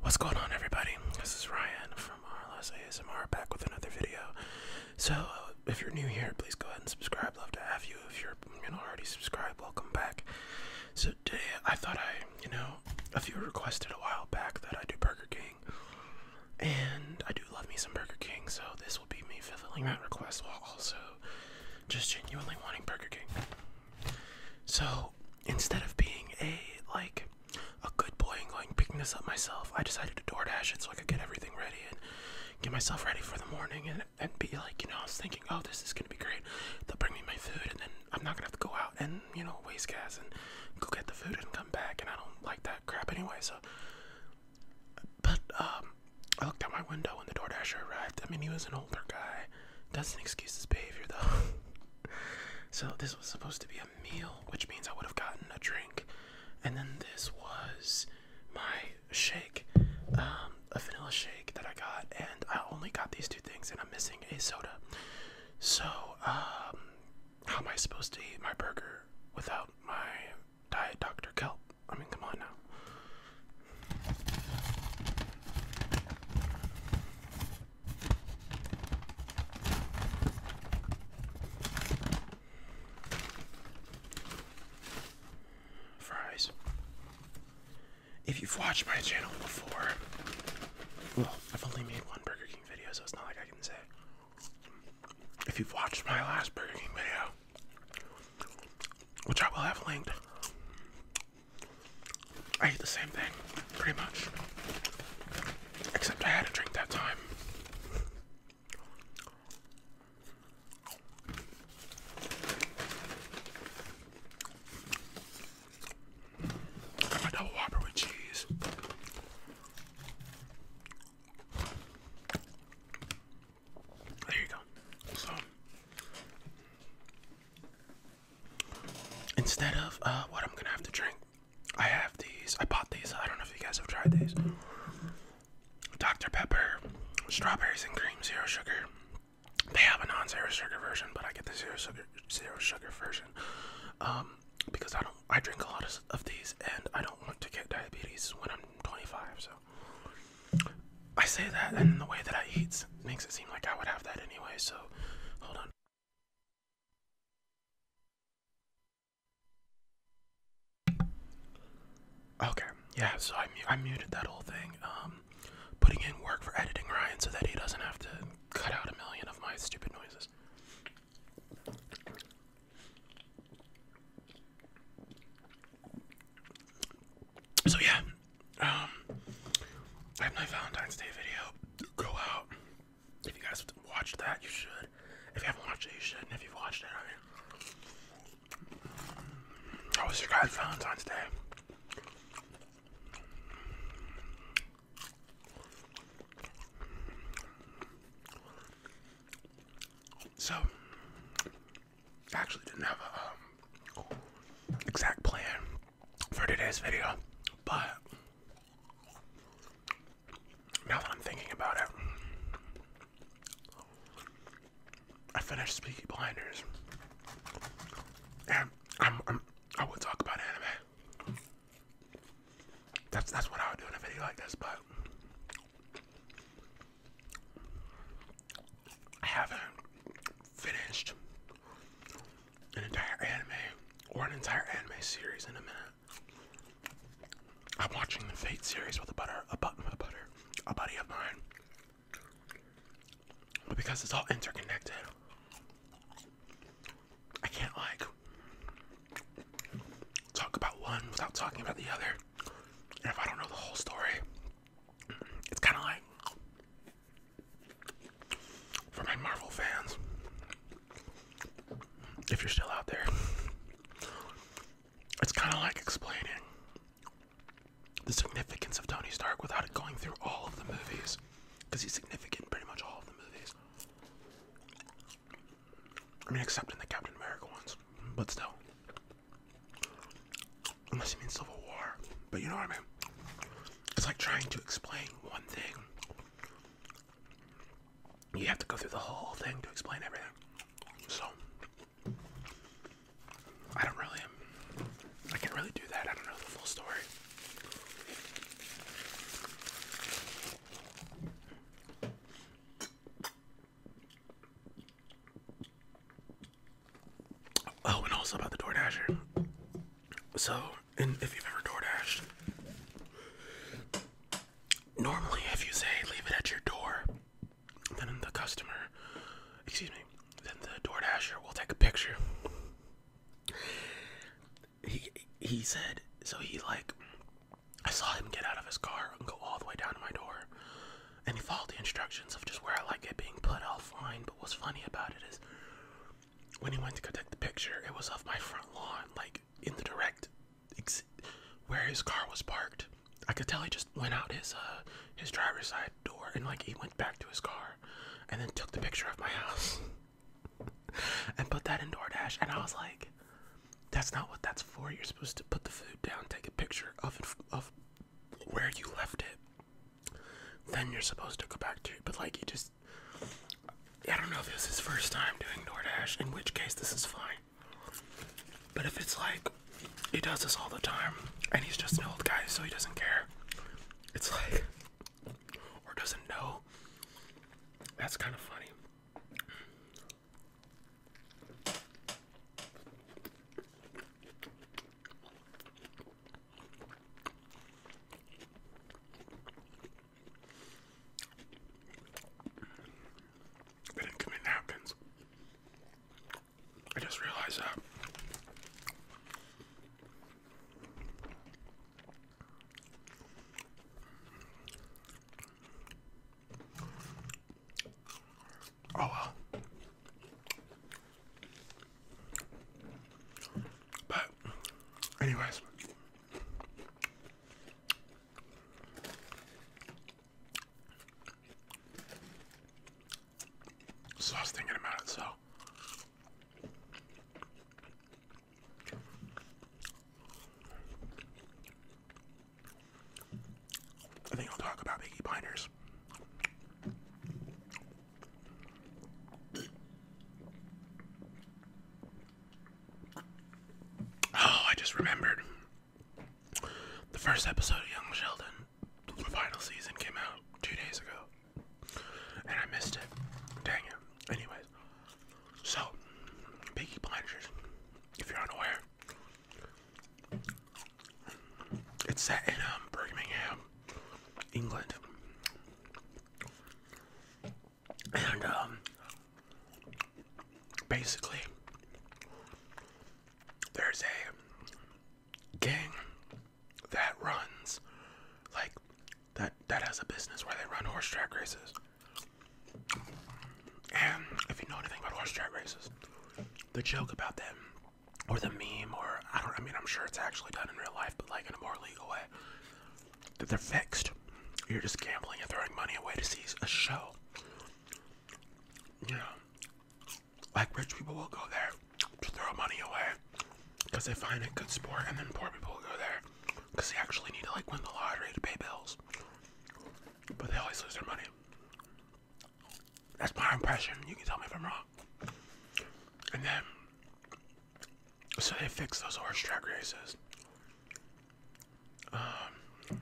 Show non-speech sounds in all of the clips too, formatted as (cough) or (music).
What's going on, everybody? This is Ryan from RLS ASMR back with another video. So, uh, if you're new here, please go ahead and subscribe. Love to have you. If you're you know already subscribed, welcome back. So today, I thought I you know a few requested a while back that I do Burger King, and I do love me some Burger King. So this will be me fulfilling that request while also just genuinely wanting Burger King. So instead of being a like a good boy and going picking this up myself, I decided to DoorDash it so I could get everything ready and get myself ready for the morning and and be like, you know, I was thinking, oh, this is gonna be great. They'll bring me my food and then I'm not gonna have to go out and you know waste gas and go get the food and come back. And I don't like that crap anyway. So, but um, I looked out my window when the DoorDasher arrived. I mean, he was an older guy doesn't excuse his behavior though. (laughs) so this was supposed to be a meal, which means I would have gotten a drink, and then this was my shake, um, a vanilla shake that I got, and I only got these two things, and I'm missing a soda. So um, how am I supposed to eat my burger without my diet Dr. Kelp? I mean, come on now. Fries. If you've watched my channel before, well, I've only made one Burger King video, so it's not like I can say. If you've watched my last Burger King video, which I will have linked, I ate the same thing, pretty much. Except I had a drink that time. Got double whopper with cheese. There you go. So Instead of uh, what I'm gonna have to drink, I have these. I bought these. I don't know if you guys have tried these. Dr. Pepper, strawberries and cream, zero sugar. They have a non-zero sugar version, but I get the zero sugar, zero sugar version um, because I don't. I drink a lot of these, and I don't want to get diabetes when I'm 25. So I say that, and the way that I eat makes it seem like I would have that anyway. So, hold on. Okay, yeah. So I I muted that whole thing. Um, putting in work for editing Ryan so that he doesn't have to cut out a million of my stupid noises. So yeah, um, I have my Valentine's Day video. Go out. If you guys watched that, you should. If you haven't watched it, you should. And if you've watched it, I was your guys' Valentine's Day? So, actually didn't have a um, exact plan for today's video, but now that I'm thinking about it, I finished Speaky Blinders, and I'm, I'm I would talk about anime. That's that's what I would do in a video like this, but I haven't finished an entire anime or an entire anime series in a minute. I'm watching the Fate series with a butter, a button, a butter, a buddy of mine. But because it's all interconnected, I can't like talk about one without talking about the other. And if I don't know the whole story, it's kind of like for my Marvel fans, if you're still out there, it's kind of like explaining the significance of Tony Stark without it going through all of the movies, because he's significant in pretty much all of the movies. I mean, except in the Captain America ones, but still unless you mean Civil War. But you know what I mean? It's like trying to explain one thing. You have to go through the whole thing to explain everything. So I don't really I can't really do that. I don't know the full story. Oh, and also about the DoorDasher. So, and if you've ever DoorDashed, normally if you say leave it at your door, then the customer, excuse me, then the DoorDasher will take a picture. He he said so he like I saw him get out of his car and go all the way down to my door. And he followed the instructions of just where I like it being put offline, but what's funny about it is when he went to go take the picture, it was off my front lawn, like in the direct where his car was parked. I could tell he just went out his uh, his driver's side door and like he went back to his car and then took the picture of my house (laughs) and put that in DoorDash and I was like that's not what that's for. You're supposed to put the food down, take a picture of it, of where you left it, then you're supposed to go back to it. But like, you just. I don't know if this is first time doing DoorDash, in which case this is fine. But if it's like, he does this all the time, and he's just an old guy, so he doesn't care, it's like, or doesn't know, that's kind of funny. They didn't give I just realized that. Oh well. But, anyways. So I was thinking about it, so. I think I'll talk about Iggy Blinders. Oh, I just remembered. The first episode of Young Sheldon, the final season, came out two days ago. And I missed it. Dang it. Anyways, so, Peaky Blinders, if you're unaware, it's set in um, Birmingham, England, and um, basically, there's a gang that runs like that that has a business where they run horse track races. And if you know anything about horse track races, the joke about them or the meme, or I don't. I mean, I'm sure it's actually done in real life, but like in a more legal way. That they're fixed. You're just gambling and throwing money away to see a show. You know, like rich people will go there to throw money away because they find it good sport, and then poor people will go there because they actually need to like win the lottery to pay bills. But they always lose their money. That's my impression. You can tell me if I'm wrong. And then, so they fix those horse track races. Um,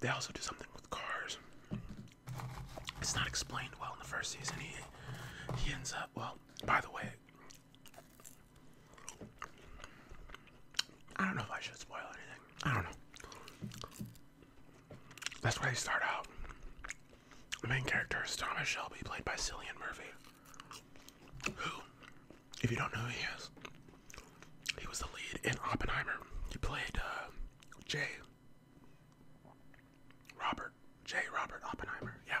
they also do something with cars. It's not explained well in the first season. He he ends up well. By the way, I don't know if I should spoil anything. I don't know. That's where they start out. The main character is Thomas Shelby, played by Cillian Murphy. Who, if you don't know who he is, he was the lead in Oppenheimer. He played uh, Robert. J. Robert Oppenheimer, yeah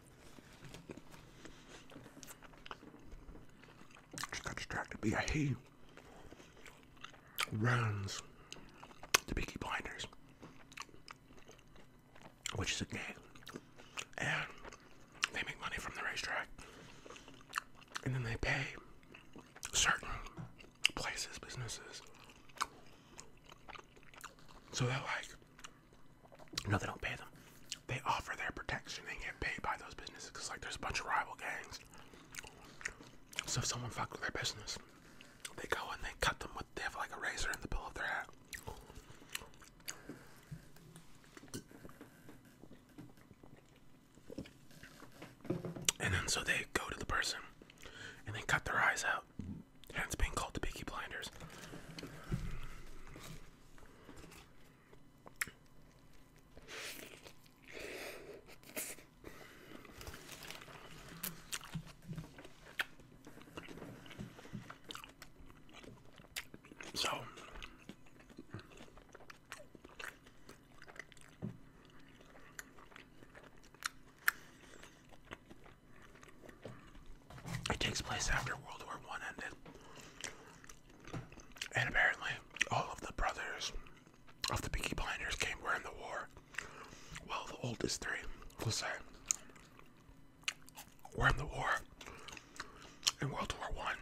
just got distracted. But a he runs the Peaky Blinders, which is a game, and they make money from the racetrack, and then they pay certain places, businesses. So they're like, no, they don't pay them. They offer their protection and get paid by those businesses because, like, there's a bunch of rival gangs. So if someone fucks with their business, they go and they cut them with, they have like a razor in the bill of their hat. And then so they go to the person and they cut their eyes out. And it's being called the Peaky Blinders. So it takes place after World War One ended. And apparently, all of the brothers of the Pinky Blinders came were in the war. Well, the oldest three, we'll say, "We're in the war in World War One,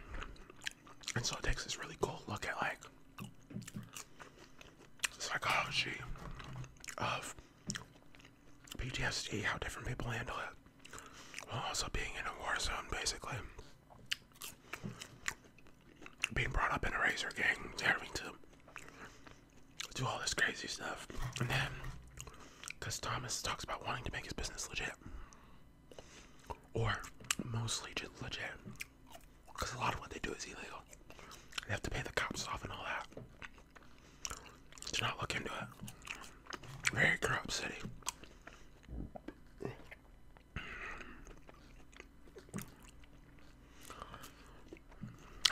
and so it takes this really cool look at like psychology of PTSD, how different people handle it also oh, being in a war zone, basically. Being brought up in a razor gang, having to do all this crazy stuff. And then, because Thomas talks about wanting to make his business legit. Or mostly just legit. Because a lot of what they do is illegal. They have to pay the cops off and all that. Let's not look into it. Very corrupt city. I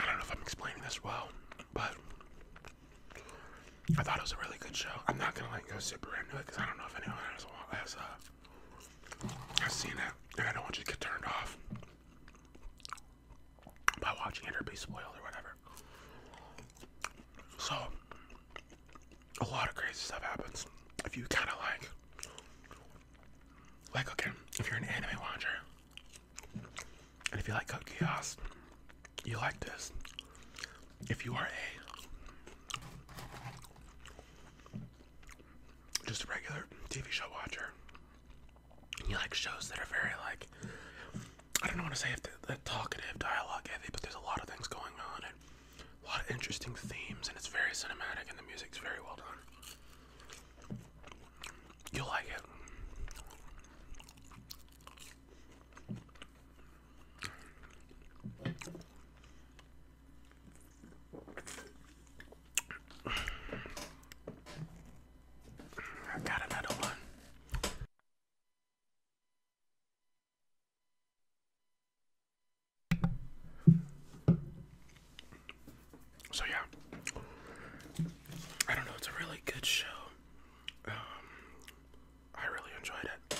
don't know if I'm explaining this well, but I thought it was a really good show. I'm not gonna let you go super into it because I don't know if anyone else has uh, has seen it, and I don't want you to get turned off by watching it or be spoiled or whatever. So, a lot of crazy stuff happens if you kind of like, like okay, if you're an anime watcher, and if you like Code you like this. If you are a just a regular TV show watcher, you like shows that are very like I don't know want to say if they they're talkative, dialogue heavy, but there's a lot of things going on and a lot of interesting themes, and it's very cinematic, and the music's very well done. You'll like it. I got another one. So yeah, I don't know. It's a really good show. Um, I really enjoyed it.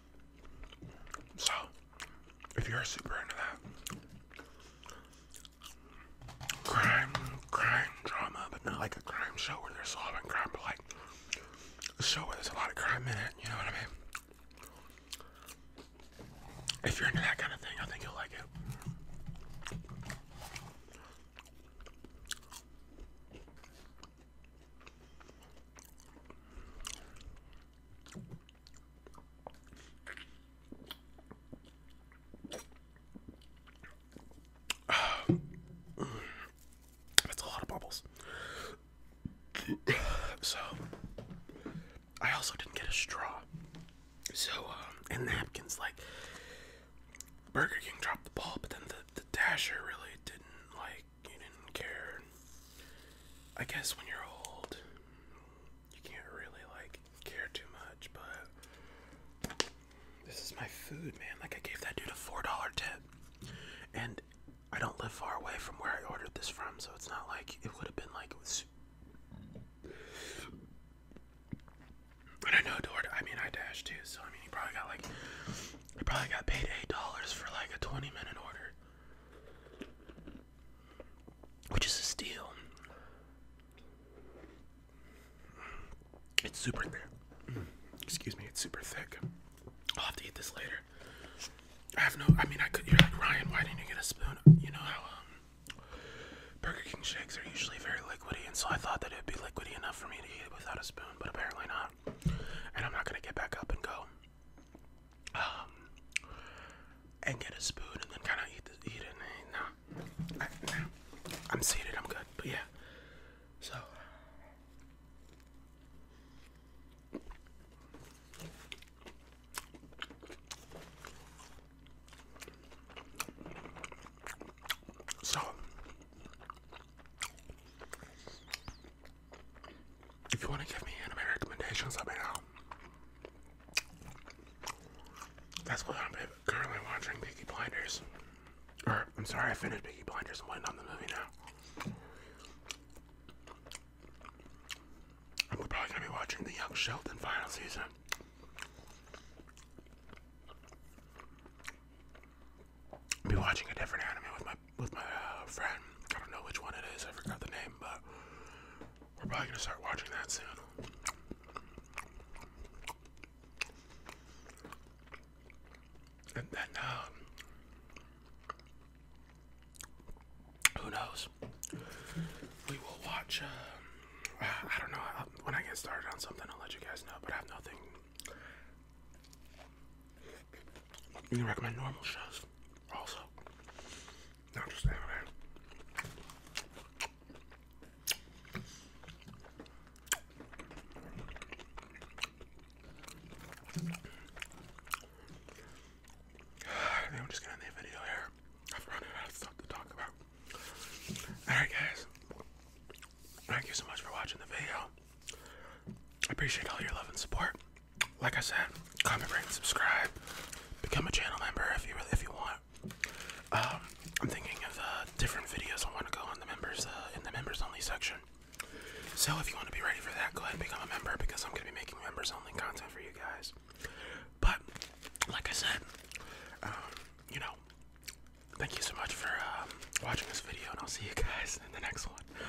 So, if you're super into that crime, crime drama, but not like a crime show where they're solving crime, but like a show where there's a lot of crime in it, you know what I mean? If you're into that kind of thing, I think you'll like it. (sighs) That's a lot of bubbles. (clears throat) So, I also didn't get a straw. So, um, and napkins, like, Burger King dropped the ball, but then the, the Dasher really didn't, like, you didn't care. I guess when you're old, you can't really like care too much, but this is my food, man. Like, I gave that dude a $4 tip, and I don't live far away from where I ordered this from, so it's not like it would have been like it was. I know Dord. I mean, I dashed too, so I mean, he probably got like, he probably got paid eight dollars for like a twenty-minute order which is a steal. It's super thick. Excuse me, it's super thick. I'll have to eat this later. I have no. I mean, I could. You're like Ryan. Why didn't you get a spoon? You know how um, Burger King shakes are usually very liquidy, and so I thought that it'd be liquidy enough for me to eat it without a spoon, but apparently not. And I'm not gonna get back up and go um, and get a spoon and then kind of eat, the, eat it. And, nah, I, nah, I'm seated. I'm good. But yeah, so so if you want to give me anime recommendations, let me know. That's what I'm currently watching, Peaky Blinders. I'm sorry, I finished Peaky Blinders. I'm waiting on the movie now. I'm probably going to be watching The Young Sheldon final season. I'll be watching a different anime with my with my uh, friend. I don't know which one it is. I forgot the name, but we're probably gonna start watching that soon. And then, um, who knows? We will watch. Um, uh, I don't know. when I get started on something, I'll let you guys know. But I have nothing. You can recommend normal shows also. I'm (sighs) just gonna end the video here. I've run out of stuff to talk about. Alright guys. Thank you so much for watching the video. I appreciate all your love and support like I said, comment, rate, subscribe, become a channel member if you if you want. Um, I'm thinking of uh, different videos I want to go on the members uh, in the members only section. So if you want to be ready for that, go ahead and become a member because I'm gonna be making members only content for you guys. But like I said, um, you know, thank you so much for um, watching this video, and I'll see you guys in the next one.